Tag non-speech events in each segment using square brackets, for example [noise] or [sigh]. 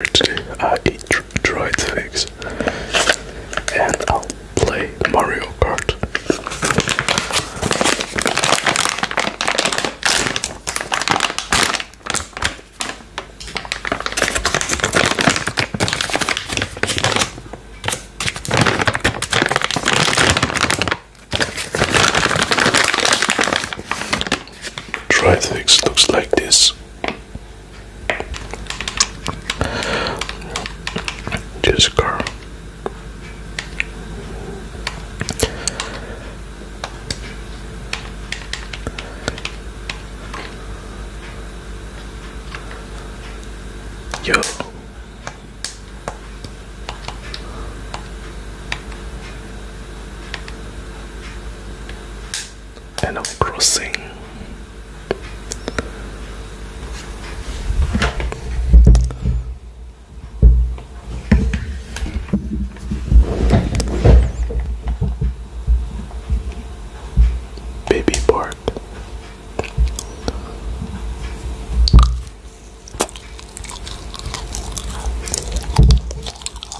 I uh, eat dried figs and I'll play Mario Kart. Try this. looks like this. Just car. Yo. Animal Crossing. Baby Bark.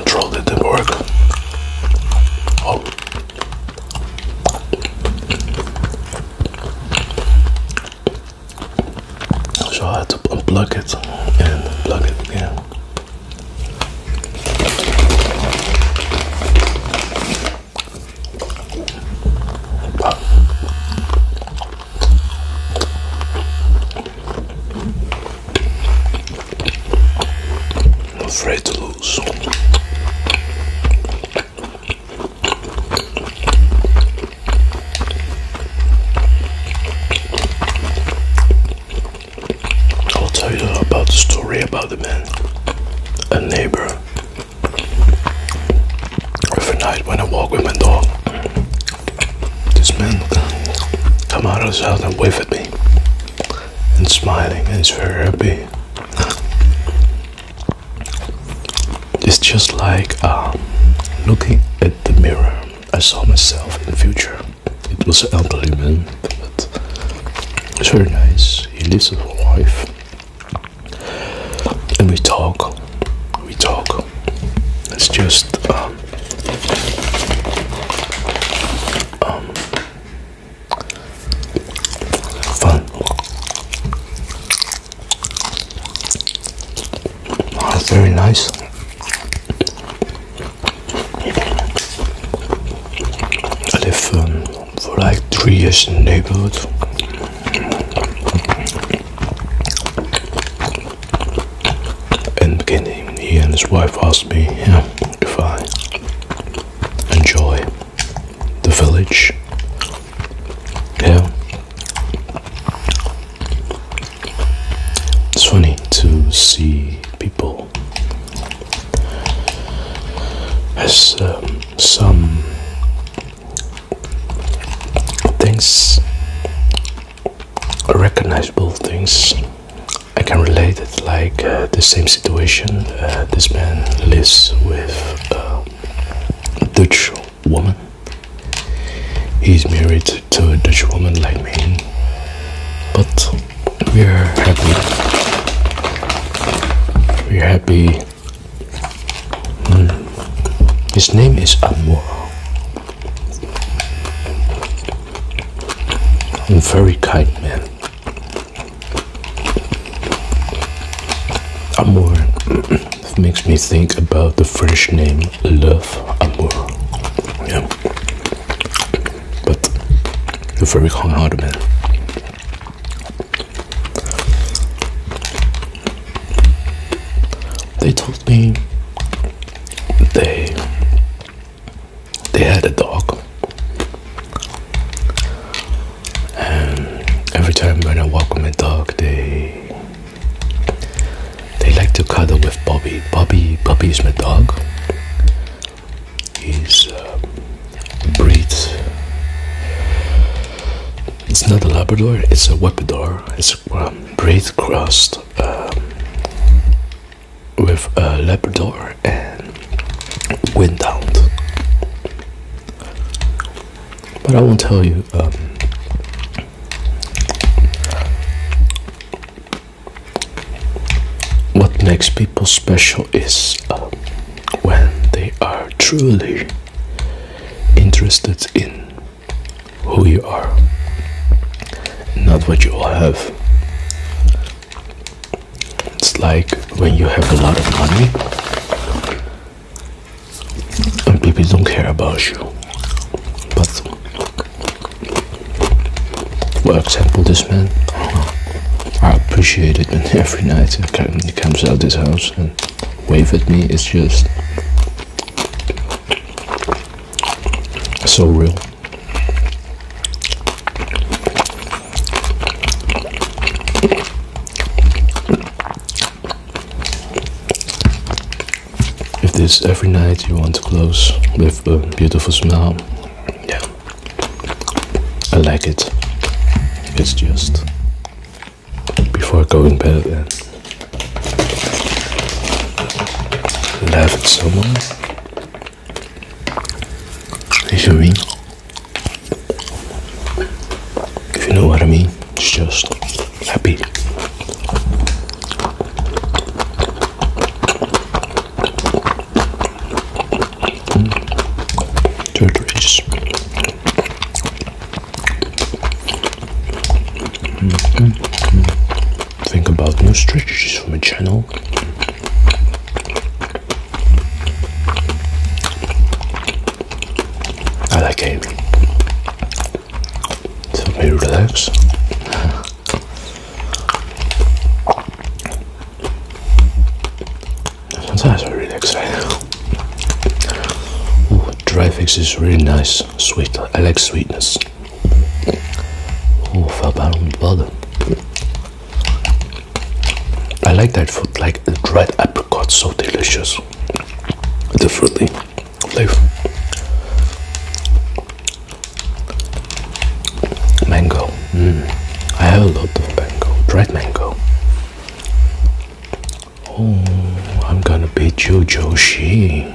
Control didn't work. Oh. So I had to unplug it and plug it again. afraid to lose. I'll tell you about the story about the man, a neighbor. Every night when I walk with my dog, this man come out of his house and wave at me, and smiling and he's very happy. It's just like um, looking at the mirror. I saw myself in the future. It was an elderly man, but it's very nice. He lives with a wife, and we talk. We talk. It's just um, um, fun very nice. I live um, for like three years in the neighborhood. And beginning, he and his wife asked me yeah, if I enjoy the village. Yeah. It's funny to see people as um, some things, recognizable things. I can relate it like uh, the same situation. Uh, this man lives with uh, Dutch woman. He's married to a Dutch woman like me, but we're happy. We're happy. Hmm. His name is Amor. A very kind man. Amor. [clears throat] It makes me think about the French name Love Amour. Yeah. But you're very kind hearted man. They told me they they had a dog and every time when I walk with my dog they they like to cuddle with Bobby. Bobby, Bobby is my dog. He's a uh, breed. It's not a Labrador. It's a Wapidor. It's a um, breed crossed um, with a Labrador and Windhound. But I will not tell you, um, what makes people special is um, when they are truly interested in who you are, not what you have. It's like when you have a lot of money and people don't care about you but for example this man I appreciate it when every night he comes out this house and wave at me it's just so real if this every night you want to close with a beautiful smell, yeah, I like it. It's just before going bed and laugh so much. If you me? if you know what I mean, it's just happy. Mm. delicious. Hmm. Think about new strategies for my channel. I like it. So very relax. Sometimes I relax right now. dry fix is really nice, sweet. I like sweetness. Oh, fell down on the I like that food, like dried apricot, so delicious else differently life mango mm. I have a lot of mango dried mango oh I'm gonna beat you Joshi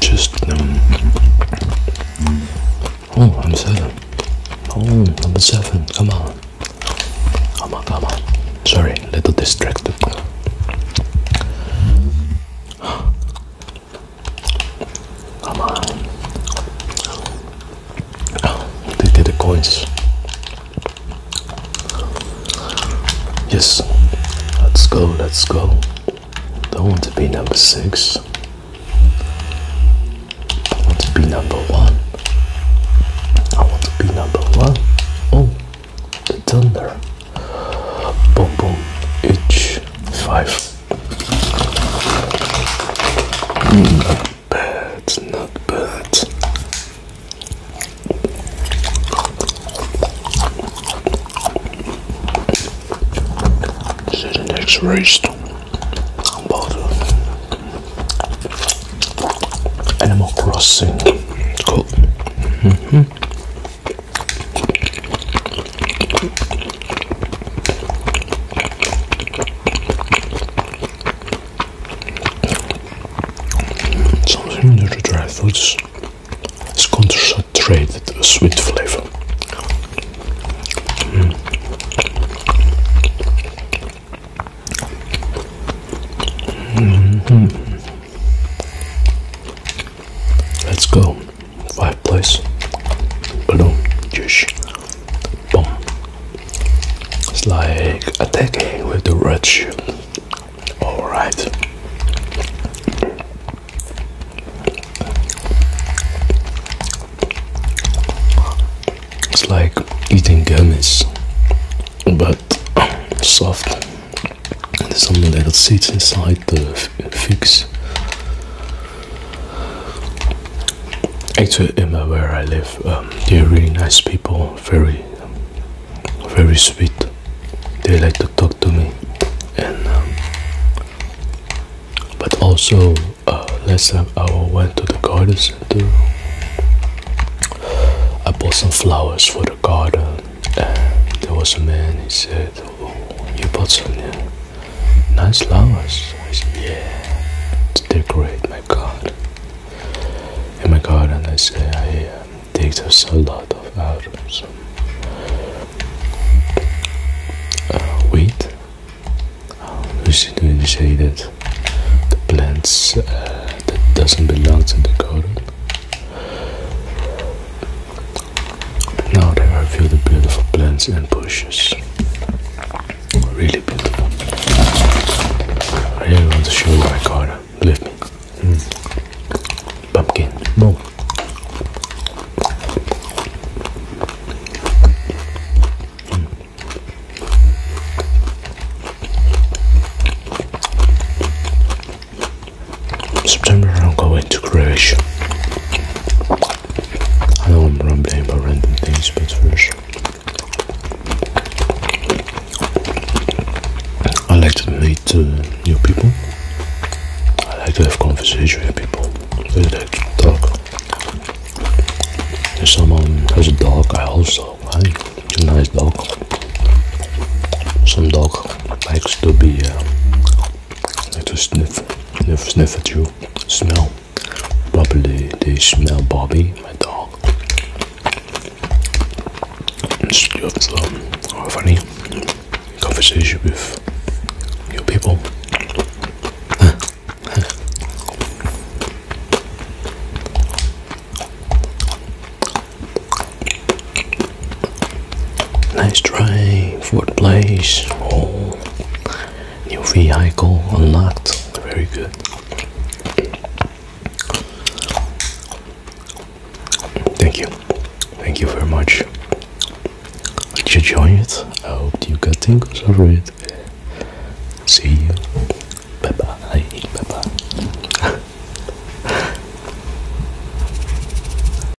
Just um, oh, I'm seven. Oh, number seven. Come on, come on, come on. Sorry, a little distracted. Come on. Oh, the coins. Yes. Let's go, let's go. Don't want to be number six. I want to be number one. I want to be number one. Oh, the thunder. Boom, boom. H5. Not bad, not bad. This the next race about Animal Crossing. Cool. -hmm. Something in dry fruits is concentrated a sweet flavor. Hmm. Hmm. Let's go. Five place. Balloon. Juice. Boom. It's like attacking with the red shield. Alright. It's like eating gummies, but soft. There's some little seeds inside the fix. Actually, in where I live, um, they're really nice people, very, very sweet. They like to talk to me, and um, but also uh, last time I went to the garden I bought some flowers for the garden, there was a man. He said, you bought some Nice flowers. I said, yeah, to decorate my god. In my garden, I say I um, take just a lot of items. Uh, wheat, um, which is to that the plants uh, that doesn't belong to the garden. Now there I view the beautiful plants and bushes. Really beautiful. I really want to show you my garden. Believe me. Hmm. Pumpkin. No. September I'm going to Croatia. I don't want to ramble about random things, but first I like to meet uh, new people. I like to have conversation with people. I like to If someone has a dog, I also like It's a nice dog. Some dog likes to be uh, like to sniff. Sniff, sniff at you. Smell. Probably they, smell Bobby, my dog. It's just um, a funny conversation with your people. Nice try, fourth place. Oh, new vehicle unlocked. Very good. Thank you. Thank you very much. Did you enjoy it? I hope you got tingles over it. See you. Bye bye. Bye bye. [laughs]